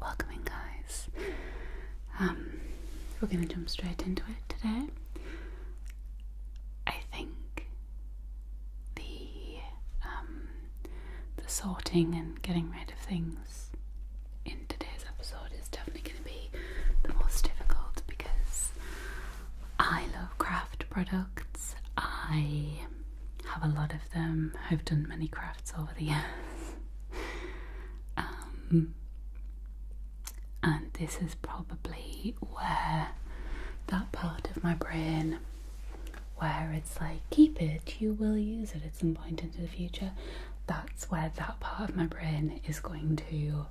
Welcoming, guys. Um, we're going to jump straight into it today. I think the um, the sorting and getting rid of things in today's episode is definitely going to be the most difficult because I love craft products. I have a lot of them. I've done many crafts crafts over the years. Um, and this is probably where that part of my brain where it's like, keep it, you will use it at some point into the future. That's where that part of my brain is going to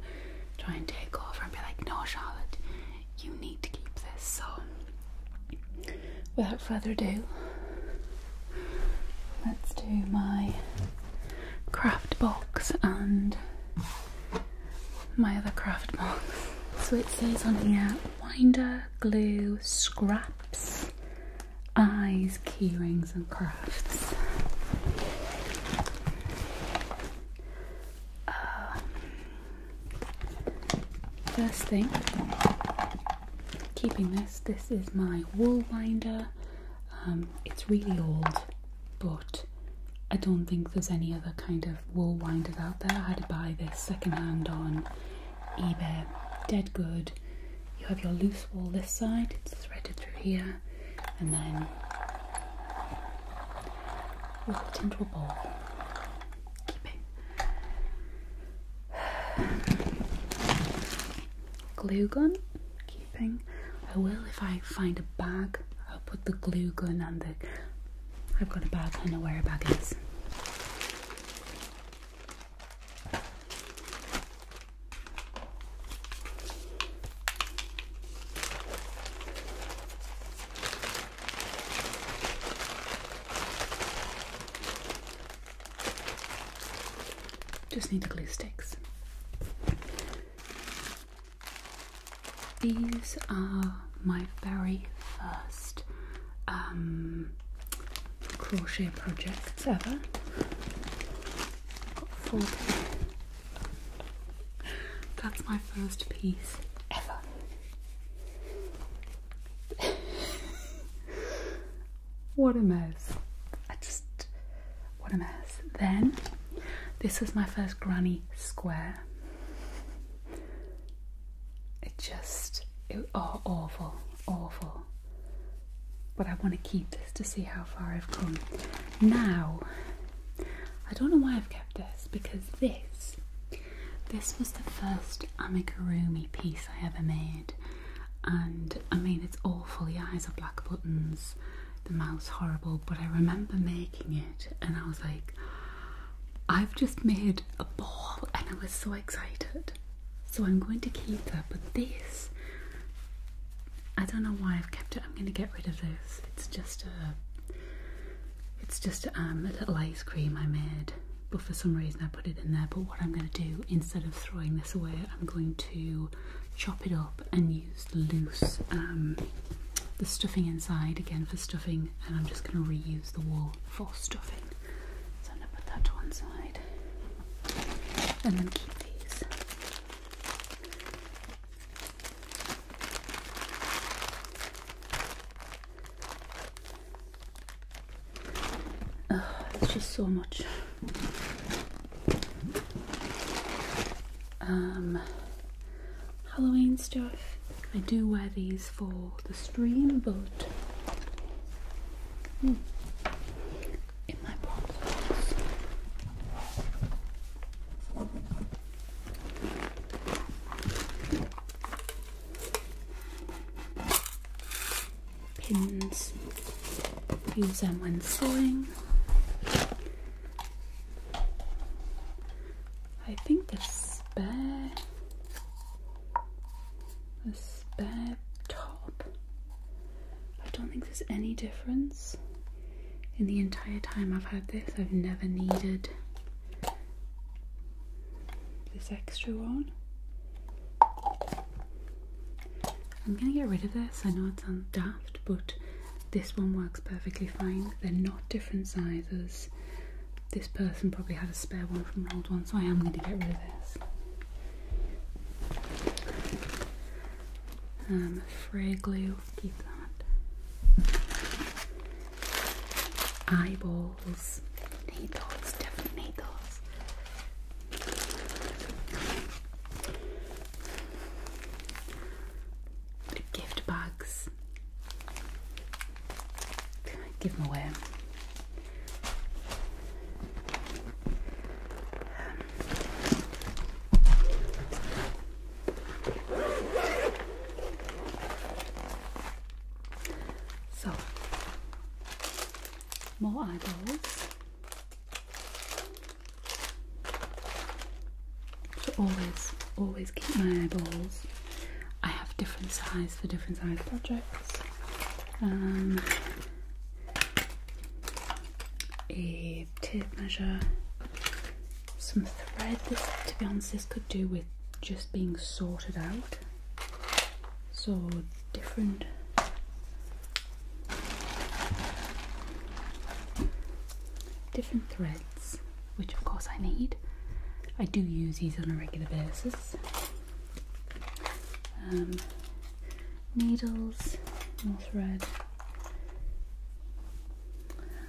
try and take over and be like, no, Charlotte, you need to keep this. So without further ado, let's do my craft box and my other craft box. So it says on here winder, glue, scraps, eyes, key rings, and crafts. Uh, first thing keeping this. This is my wool binder. Um, it's really old, but I don't think there's any other kind of wool winders out there. I had to buy this secondhand on eBay. Dead good. You have your loose wool this side, it's threaded through here, and then into a ball. Glue gun, keeping. I will if I find a bag. I'll put the glue gun and the. I've got a bag. I know where a bag is. Just need the glue sticks. These are my very first um, crochet projects ever. That's my first piece ever. what a mess. I just, what a mess. Then, this was my first granny square. It just, oh, awful, awful. But I want to keep this to see how far I've come. Now, I don't know why I've kept this because this this was the first amigurumi piece I ever made, and I mean, it's awful. The eyes are black buttons, the mouth's horrible, but I remember making it, and I was like, I've just made a ball, and I was so excited. So I'm going to keep that, but this, I don't know why I've kept it. I'm going to get rid of this. It's just a, it's just um, a little ice cream I made but for some reason I put it in there but what I'm going to do instead of throwing this away I'm going to chop it up and use the loose um, the stuffing inside again for stuffing and I'm just going to reuse the wall for stuffing so I'm going to put that to one side and then keep these it's just so much. Um, Halloween stuff. I do wear these for the stream, but hmm, in my box pins. Use them when sewing. I think the spare, the spare top. I don't think there's any difference. In the entire time I've had this, I've never needed this extra one. I'm gonna get rid of this. I know it sounds daft, but this one works perfectly fine. They're not different sizes. This person probably had a spare one from an old one, so I am gonna get rid of this. Um, fray glue, keep that. Eyeball needles. Needles, different needles. Gift bags. Give them away. Um, so, more eyeballs. So always, always keep my eyeballs. I have different size for different size projects. Um, a tape measure, some thread. This, this could do with just being sorted out so different different threads which of course I need I do use these on a regular basis um, needles and thread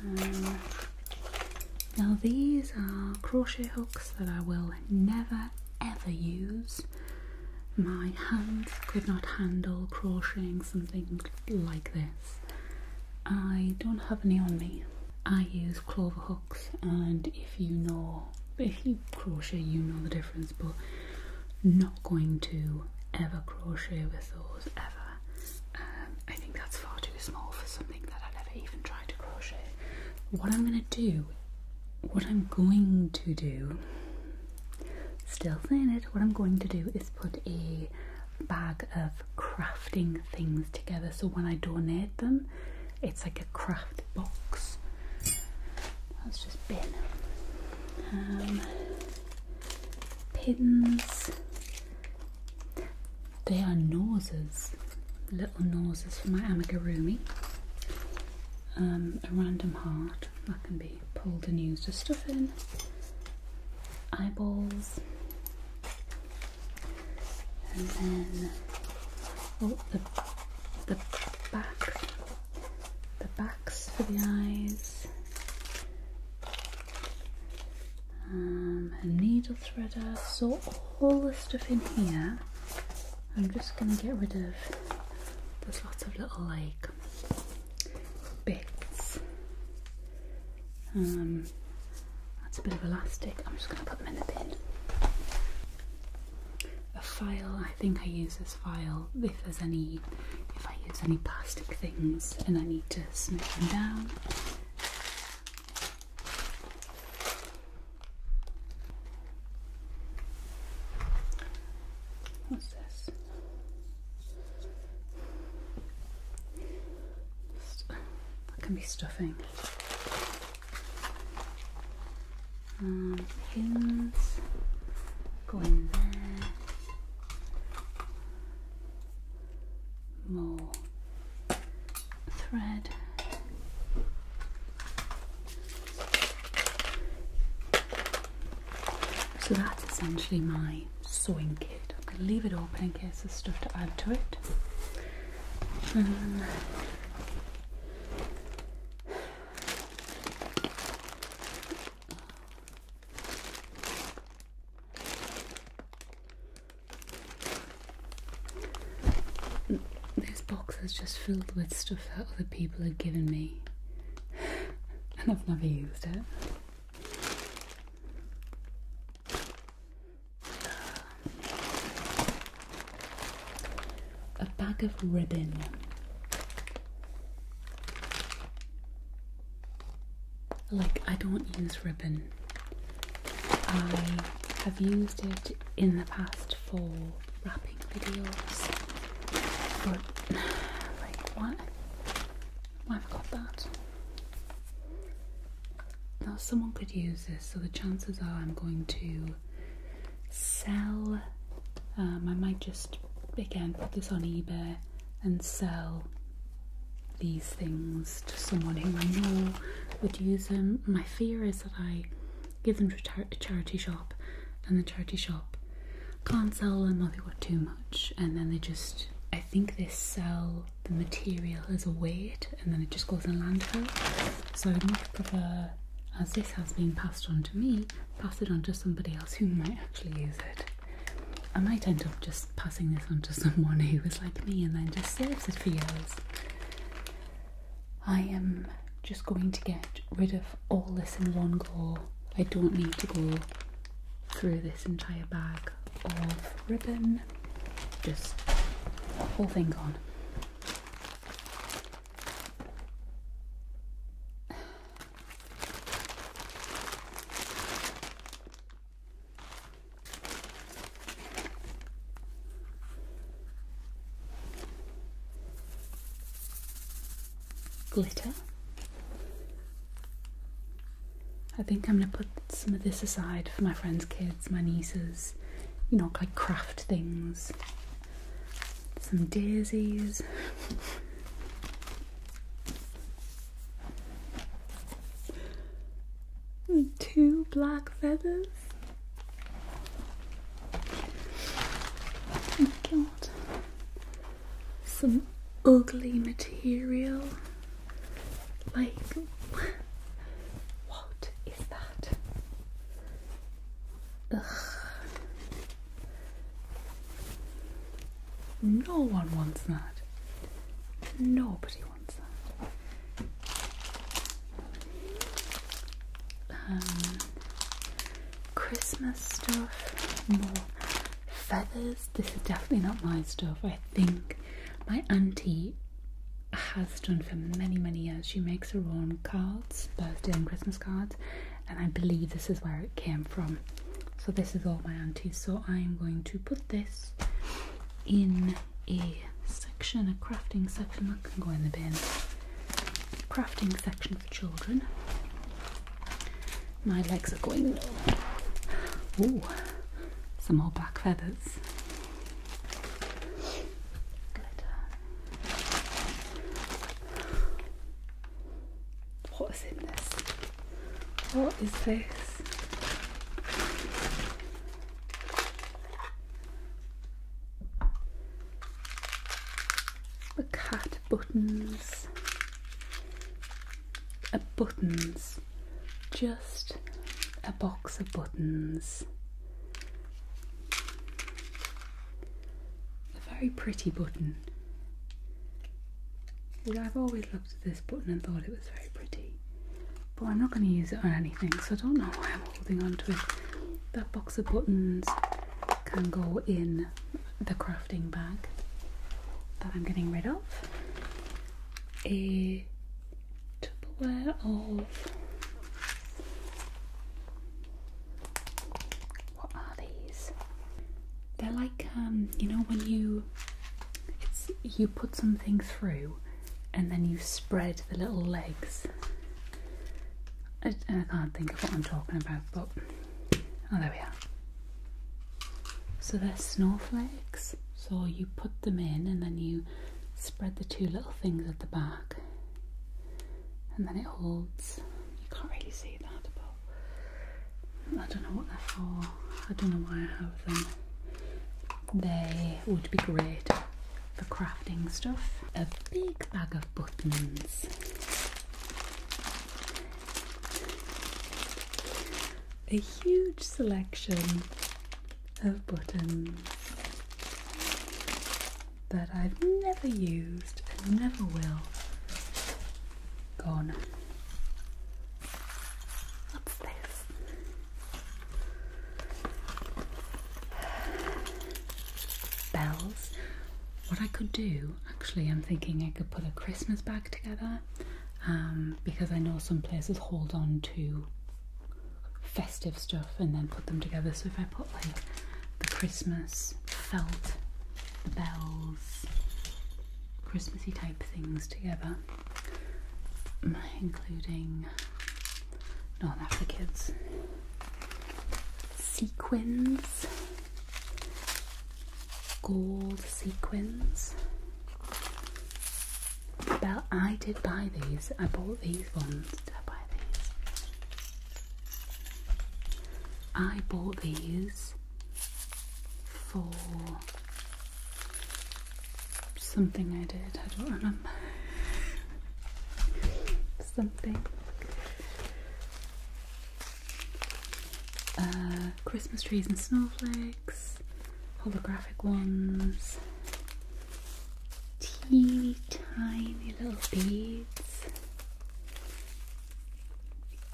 um, now these are crochet hooks that I will never ever use. My hands could not handle crocheting something like this. I don't have any on me. I use clover hooks and if you know, if you crochet you know the difference but not going to ever crochet with those ever. Um, I think that's far too small for something that I've ever even tried to crochet. What I'm gonna do, what I'm going to do, still saying it, what I'm going to do is put a bag of crafting things together so when I donate them, it's like a craft box. That's just bin. Um, pins. They are noses, little noses for my amigurumi. a random heart that can be pulled and used as stuff in. Eyeballs. And then, oh, the, the back, the backs for the eyes. Um, a needle threader, saw all the stuff in here I'm just going to get rid of there's lots of little like bits um, that's a bit of elastic I'm just going to put them in the bin a file I think I use this file if there's any if I use any plastic things and I need to smooth them down What's this? That can be stuffing. Um, pins go in there. More thread. So that's essentially my sewing kit. I'm going to leave it open in case there's stuff to add to it. Um, this box is just filled with stuff that other people have given me, and I've never used it. A bag of ribbon. Like, I don't use ribbon I have used it in the past for wrapping videos, but like why? Why have got that? Now someone could use this, so the chances are I'm going to sell. Um, I might just again put this on eBay and sell these things against someone who I know would use them. My fear is that I give them to a charity shop and the charity shop can't sell them or they got too much and then they just I think they sell the material as a weight and then it just goes in landfill. So I'd much prefer as this has been passed on to me, pass it on to somebody else who might actually use it. I might end up just passing this on to someone who is like me and then just saves it for years. I am just going to get rid of all this in one go. I don't need to go through this entire bag of ribbon. Just whole thing gone glitter. I think I'm going to put some of this aside for my friends' kids, my nieces, you know, like craft things. Some daisies two black feathers. Oh god. Some ugly material. Like, what is that? Ugh. No one wants that. Nobody um, Christmas stuff, more feathers. This is definitely not my stuff. I think my auntie has done for many, many years. She makes her own cards, birthday and Christmas cards, and I believe this is where it came from. So this is all my auntie. So I'm going to put this in a section, a crafting section that can go in the bin. Crafting section for children. My legs are going Ooh, some more black feathers. What is in this? What is this? The cat buttons. A buttons. Just a box of buttons. A very pretty button. I've always looked at this button and thought it was very pretty but I'm not going to use it on anything, so I don't know why I'm holding on to it. That box of buttons can go in the crafting bag that I'm getting rid of. A Tupperware of what are these? They're like um, you know when you you put something through and then you spread the little legs. and I can't think of what I'm talking about, but oh, there we are. So there's snowflakes. So you put them in and then you spread the two little things at the back, and then it holds. You can't really see that, but I don't know what they're for. I don't know why I have them. They would be great for crafting stuff. A big bag of buttons. A huge selection of buttons that I've never used and never will. Gone. What's this? Bells. What I could do, actually, I'm thinking I could put a Christmas bag together um, because I know some places hold on to festive stuff and then put them together. So if I put like the Christmas felt, the bells, Christmassy type things together including North Africans, sequins, gold sequins. Well, I did buy these. I bought these ones. I buy these? I bought these for Something I did, I don't remember. Something. Uh, Christmas trees and snowflakes, holographic ones, teeny tiny little beads.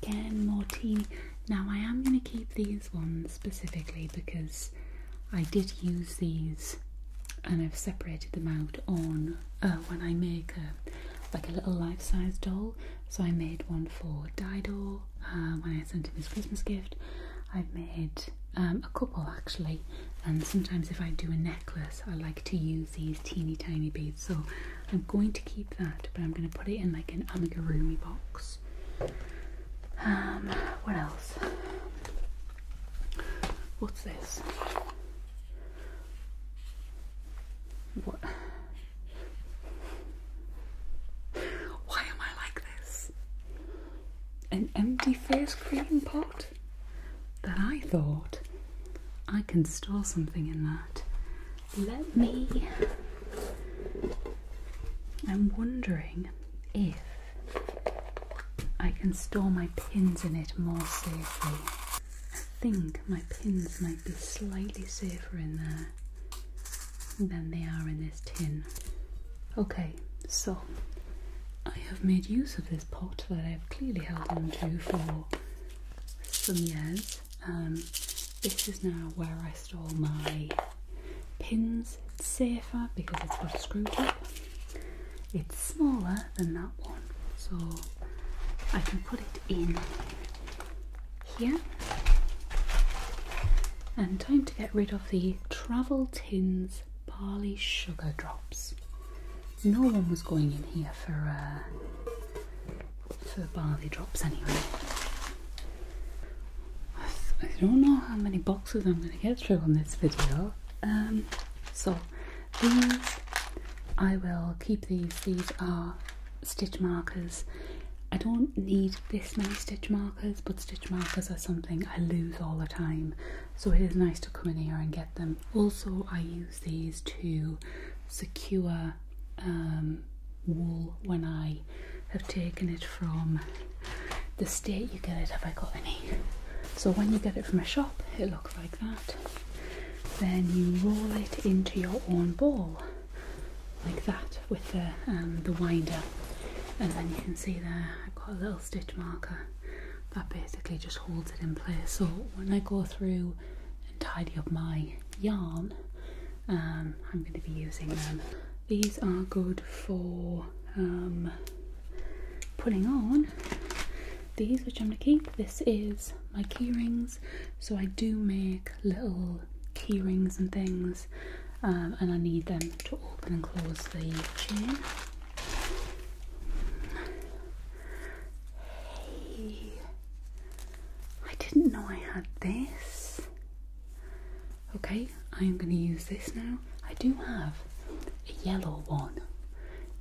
Again, more teeny. Now, I am going to keep these ones specifically because I did use these and I've separated them out on uh, when I make like a little life-size doll. So I made one for Dido uh, when I sent him his Christmas gift. I've made um, a couple actually and sometimes if I do a necklace I like to use these teeny tiny beads so I'm going to keep that but I'm going to put it in like an amigurumi box um, what else? What's this? What? Why am I like this? An empty face cream pot? That I thought I can store something in that. Let me. I'm wondering if I can store my pins in it more safely. I think my pins might be slightly safer in there than they are in this tin. Okay, so I have made use of this pot that I've clearly held on to for some years. Um, this is now where I rest all my pins. safer because it's got a screw top. It's smaller than that one, so I can put it in here. And time to get rid of the Travel Tins Barley Sugar Drops. No one was going in here for uh, for barley drops anyway. I don't know how many boxes I'm going to get through on this video. Um, so these, I will keep these. These are stitch markers. I don't need this many stitch markers, but stitch markers are something I lose all the time. So it is nice to come in here and get them. Also, I use these to secure um, wool when I have taken it from the state you get it, have I got any? So when you get it from a shop, it looks like that. Then you roll it into your own ball, like that, with the, um, the winder. And then you can see there, I've got a little stitch marker that basically just holds it in place. So when I go through and tidy up my yarn, um, I'm going to be using them um, these are good for um, putting on these, which I'm going to keep. This is my key rings, so I do make little key rings and things, um, and I need them to open and close the chain. Hey, I didn't know I had this. Okay, I am going to use this now I do have a yellow one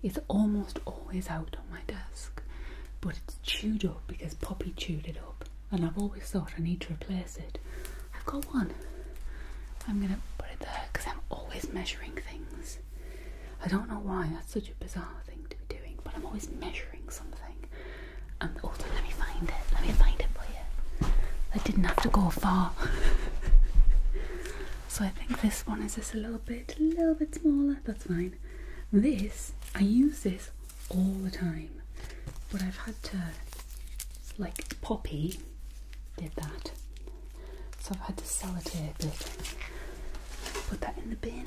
it's almost always out on my desk but it's chewed up because Poppy chewed it up and I've always thought I need to replace it I've got one I'm going to put it there because I'm always measuring things I don't know why that's such a bizarre thing to be doing but I'm always measuring something um, oh, let me find it. Let me find it for you. I didn't have to go far. so I think this one is just a little bit, a little bit smaller. That's fine. This I use this all the time, but I've had to like Poppy did that, so I've had to sell it. Put that in the bin.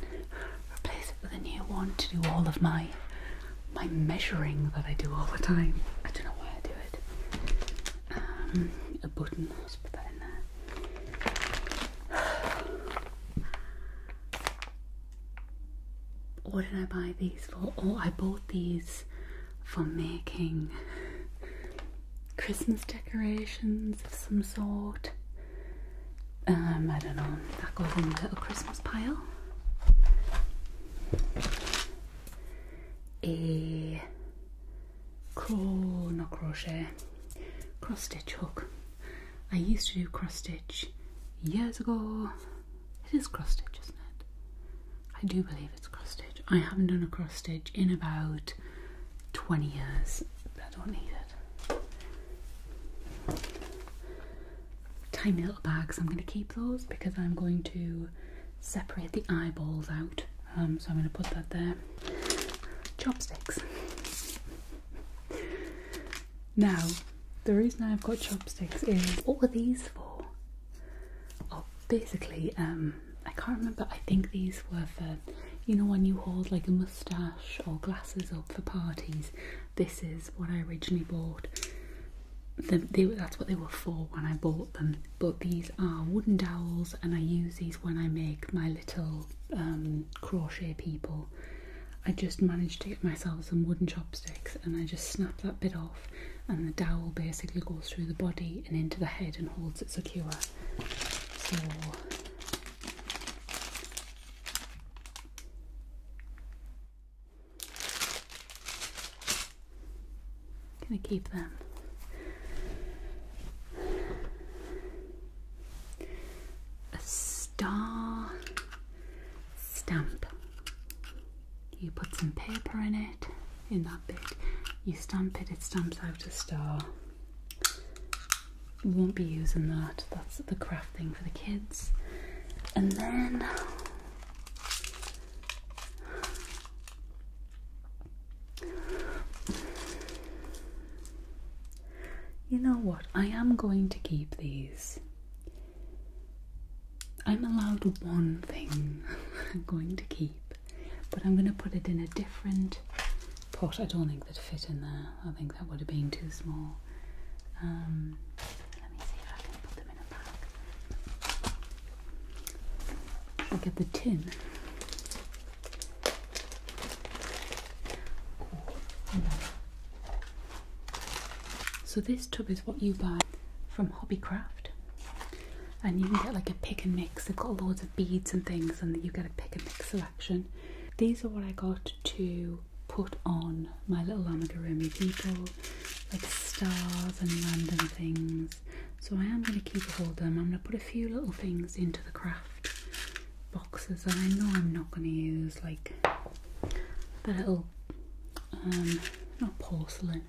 Replace it with a new one to do all of my my measuring that I do all the time. I don't know why I do it. Um, a button. Let's put that in there. What did I buy these for? Oh, I bought these for making Christmas decorations of some sort. Um, I don't know. That goes in the little Christmas pile a cro not crochet cross stitch hook. I used to do cross stitch years ago. It is cross stitch, isn't it? I do believe it's cross stitch. I haven't done a cross stitch in about 20 years. I don't need it tiny little bags. I'm going to keep those because I'm going to separate the eyeballs out. Um, so I'm going to put that there. Chopsticks. Now, the reason I've got chopsticks is what are these for? Oh, basically, um, I can't remember. I think these were for, you know, when you hold like a moustache or glasses up for parties. This is what I originally bought that's what they were for when I bought them. But these are wooden dowels, and I use these when I make my little um, crochet people. I just managed to get myself some wooden chopsticks, and I just snap that bit off, and the dowel basically goes through the body and into the head and holds it secure. So. Gonna keep them. A star stamp. You put some paper in it, in that bit. You stamp it, it stamps out a star. We won't be using that. That's the craft thing for the kids. And then you know what? I am going to keep these. I'm allowed one thing I'm going to keep, but I'm going to put it in a different pot. I don't think that fit in there. I think that would have been too small. Um, let me see I can put them in a bag. Look at the tin. So this tub is what you buy from Hobbycraft and you can get like a pick and mix. They've got loads of beads and things and you get a pick and mix selection. These are what I got to put on my little Amigurumi people like stars and random things. So I am going to keep hold of them. I'm going to put a few little things into the craft boxes that I know I'm not going to use, like the little, um, not porcelain,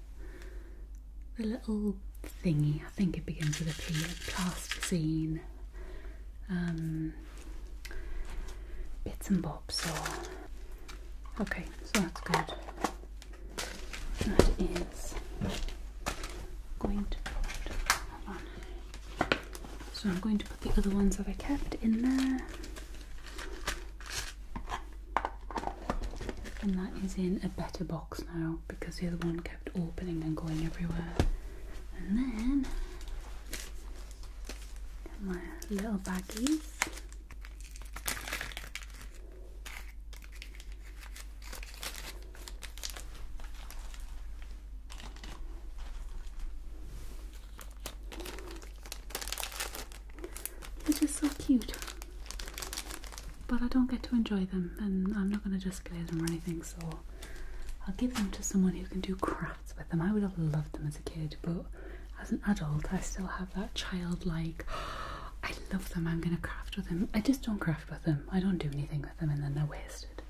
the little thingy. I think it begins with a P, plasticine, um, bits and bobs. So Okay, so that's good. That is going to put So I'm going to put the other ones that I kept in there. And that is in a better box now because the other one kept opening and going everywhere. And then my little baggies. They're just so cute, but I don't get to enjoy them, and I'm not going to display them or anything, so I'll give them to someone who can do crafts with them. I would have loved them as a kid, but as an adult, I still have that childlike. Oh, I love them. I'm going to craft with them. I just don't craft with them. I don't do anything with them, and then they're wasted.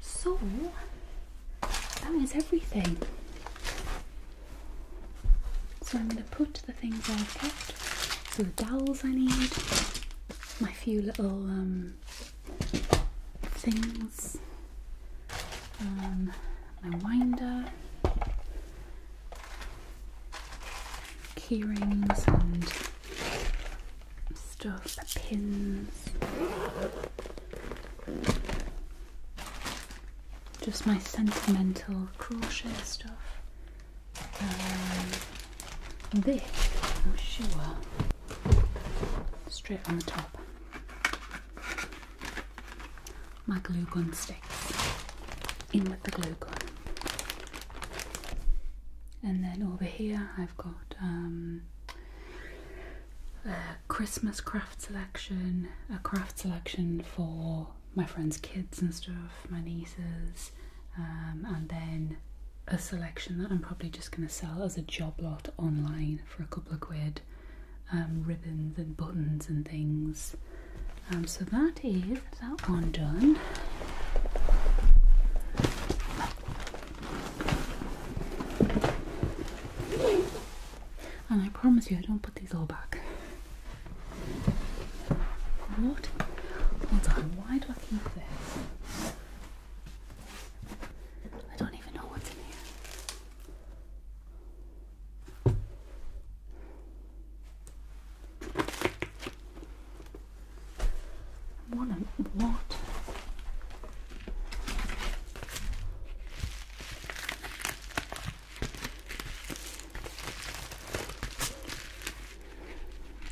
So that was everything. So I'm going to put the things I've kept. So the dowels I need, my few little um, things um, my winder, key rings and stuff, pins, just my sentimental crochet stuff. Um, this, I'm sure, straight on the top my glue gun sticks in with the glue gun. And then over here I've got um, a Christmas craft selection, a craft selection for my friends' kids and stuff, my nieces, um, and then a selection that I'm probably just going to sell as a job lot online for a couple of quid um, ribbons and buttons and things. Um, so that is that one done. And I promise you, I don't put these all back. What? Hold on, why do I keep this? I don't even know what's in here. What? what?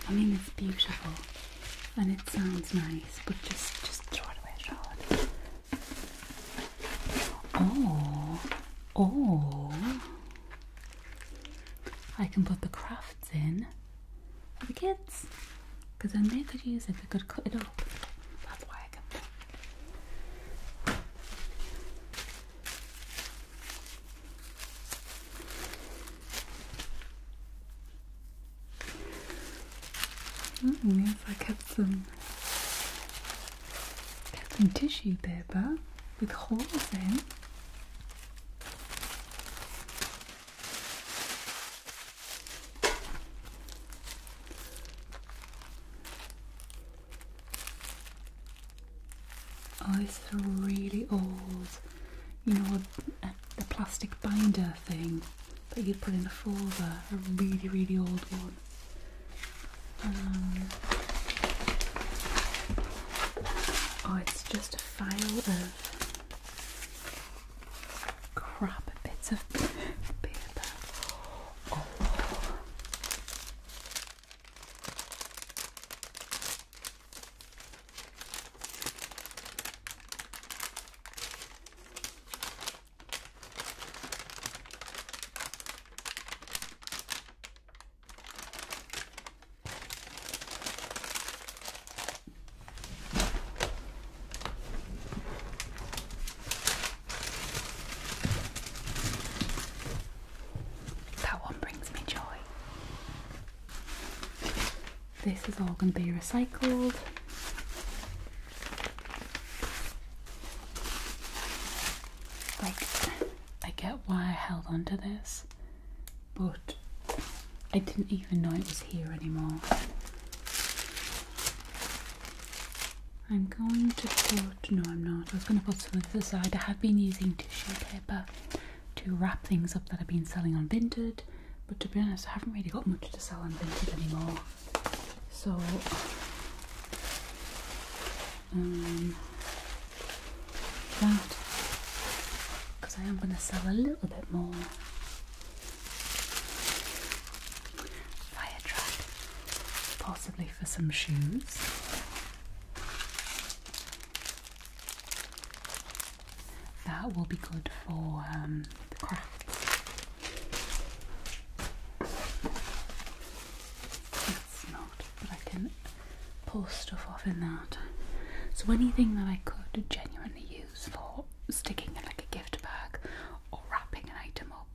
I mean, it's beautiful and it sounds nice, but just just throw it away, Charlotte. Oh, oh. I can put the crafts in for the kids because then they could use it, they could cut it up. That's why I kept some some tissue paper with holes in. Oh, this is a really old. You know, a, plastic binder thing that you would put in the folder, a really, really old one. Um, oh, it's just a file of crap bits of paper. Oh. That one brings me joy. This is all going to be recycled. Like, I get why I held on to this, but I didn't even know it was here anymore. I'm going to put, no, I'm not. I was going to put some of this aside. I have been using tissue paper to wrap things up that I've been selling on Vinted, but to be honest, I haven't really got much to sell on Vinted anymore so um, that because I am going to sell a little bit more fire track, possibly for some shoes. That will be good for um, the crafts. It's not, but I can pull stuff off in that. So anything that I could genuinely use for sticking in like a gift bag or wrapping an item up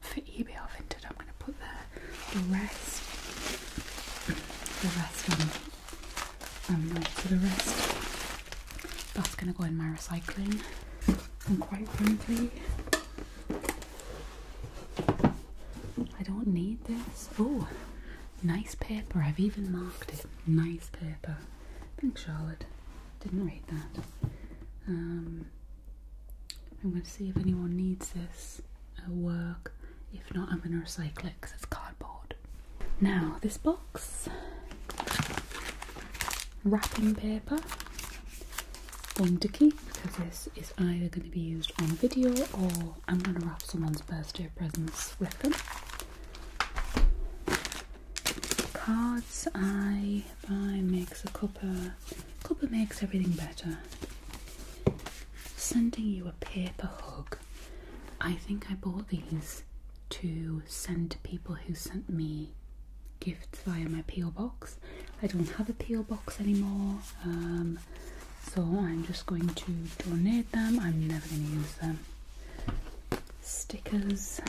for eBay I've or Vinted, I'm going to put there. The rest, the rest I'm, I'm not for the rest. That's going to go in my recycling. I'm quite friendly. I don't need this. Oh, nice paper. I've even marked it. Nice paper. Thanks, Charlotte. Didn't read that. Um, I'm going to see if anyone needs this at work. If not, I'm going to recycle it because it's cardboard. Now, this box wrapping paper thing to keep because this is either going to be used on a video or I'm going to wrap someone's birthday presents with them. Cards I I makes a copper. Copper makes everything better. Sending you a paper hug. I think I bought these to send to people who sent me gifts via my P.O. box. I don't have a P.O. box anymore, um, so I'm just going to donate them. I'm never going to use them. Stickers.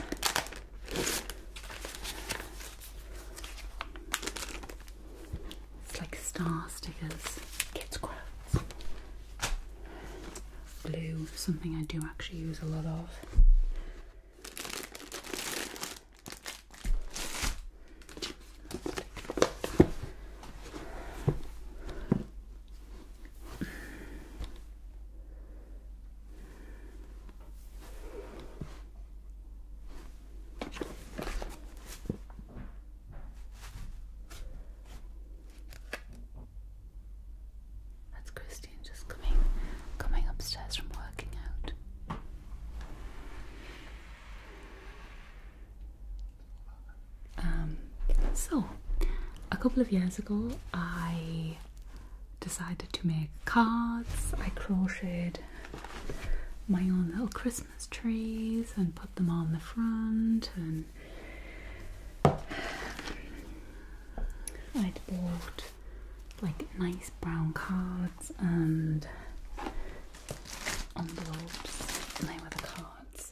It's like star stickers, kids crafts, glue, something I do actually use a lot of. That's Christy just coming coming upstairs from working out. Um, so, a couple of years ago, I decided to make cards. I crocheted my own little Christmas trees and put them on the front, and i bought like nice brown cards and envelopes. And they were the cards.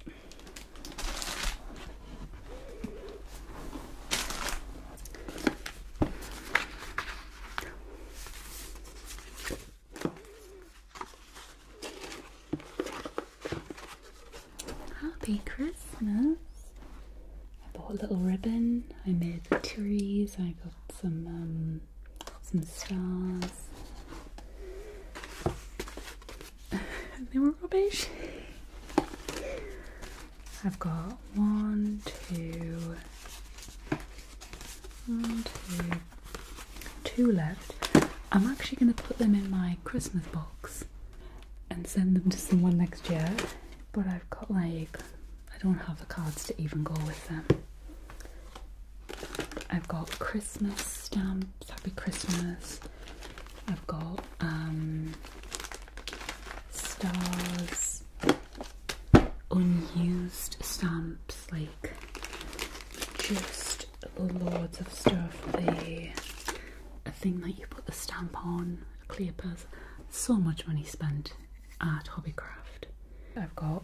Happy Christmas. I bought a little ribbon. I made the trees. I got some um, some stars. they were rubbish. I've got one, two, one, two, two left. I'm actually going to put them in my Christmas box and send them to someone next year. But I've got like I don't have the cards to even go with them. I've got Christmas stamps, Happy Christmas. I've got um, stars, unused stamps, like just loads of stuff. A, a thing that you put the stamp on, a clear purse. So much money spent at craft. I've got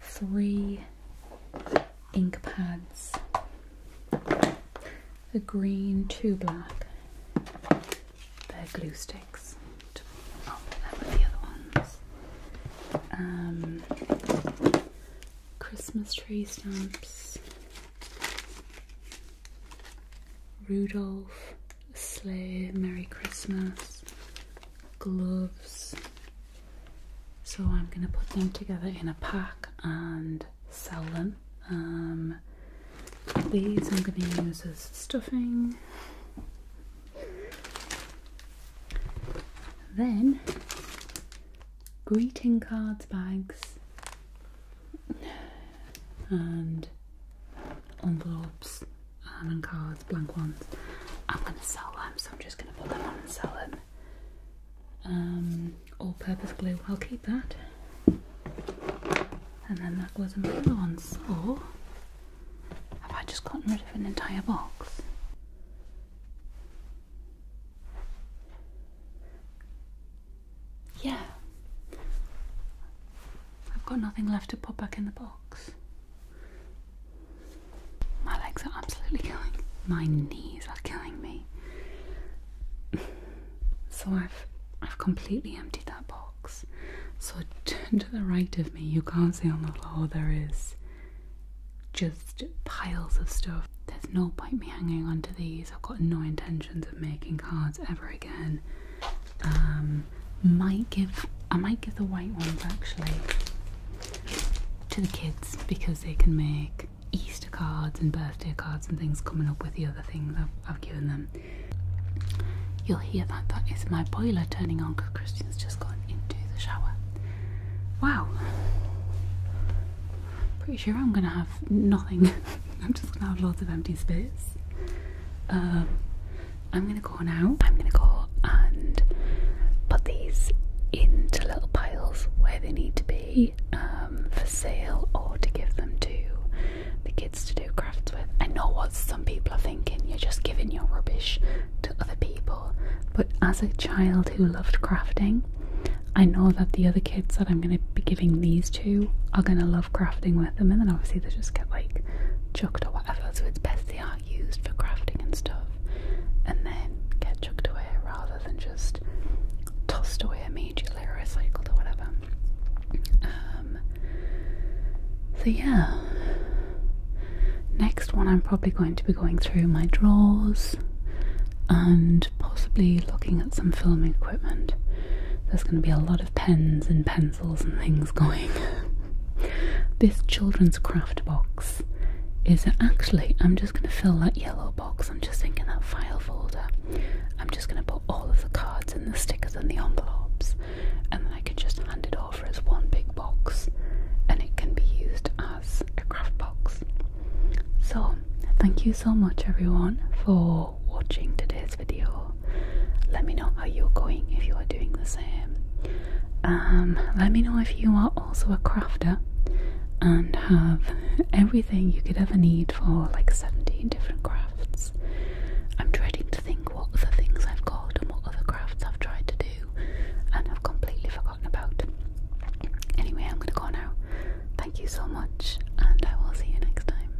three ink pads, a green, two black, they're glue sticks, um, Christmas tree stamps, Rudolph, Sleigh, Merry Christmas, gloves. So I'm going to put them together in a pack and sell them. Um, these I'm going to use as stuffing. Then greeting cards bags and envelopes and cards, blank ones. I'm going to sell them, so I'm just going to put them on and sell them. Um, all-purpose glue, I'll keep that. And then that was another one. So, have I just gotten rid of an entire box? Yeah. I've got nothing left to put back in the box. My legs are absolutely killing. My knees are killing me. so I've I've completely emptied that box. So turn to the right of me. You can't see on the floor there is just piles of stuff. There's no point me hanging on to these. I've got no intentions of making cards ever again. Um, might give I might give the white ones actually to the kids because they can make Easter cards and birthday cards and things coming up with the other things I've, I've given them. You'll hear that that is my boiler turning on because Christian's just gone into the shower. Wow. Pretty sure I'm gonna have nothing. I'm just gonna have lots of empty space. Um, I'm gonna go now. I'm gonna go and put these into little piles where they need to be um, for sale or to give them to the kids to do crafts with. I know what some people are thinking, you're just giving your rubbish to other people. But as a child who loved crafting, I know that the other kids that I'm going to be giving these are gonna love crafting with them, and then obviously they just get like chucked or whatever. So it's best they are used for crafting and stuff, and then get chucked away rather than just tossed away immediately or recycled or whatever. Um, so yeah. Next one, I'm probably going to be going through my drawers and possibly looking at some filming equipment. There's going to be a lot of pens and pencils and things going. this children's craft box is actually, I'm just going to fill that yellow box. I'm just thinking that file folder. I'm just going to put all of the cards and the stickers and the envelopes, and then I can just hand it over as one big box, and it can be used as a craft box. So, thank you so much, everyone, for watching today's video. Let me know how you're going if you are doing the same. Um, let me know if you are also a crafter and have everything you could ever need for like 17 different crafts. I'm dreading to think what other things I've got and what other crafts I've tried to do and have completely forgotten about. Anyway, I'm going to go now. Thank you so much, and I will see you next time.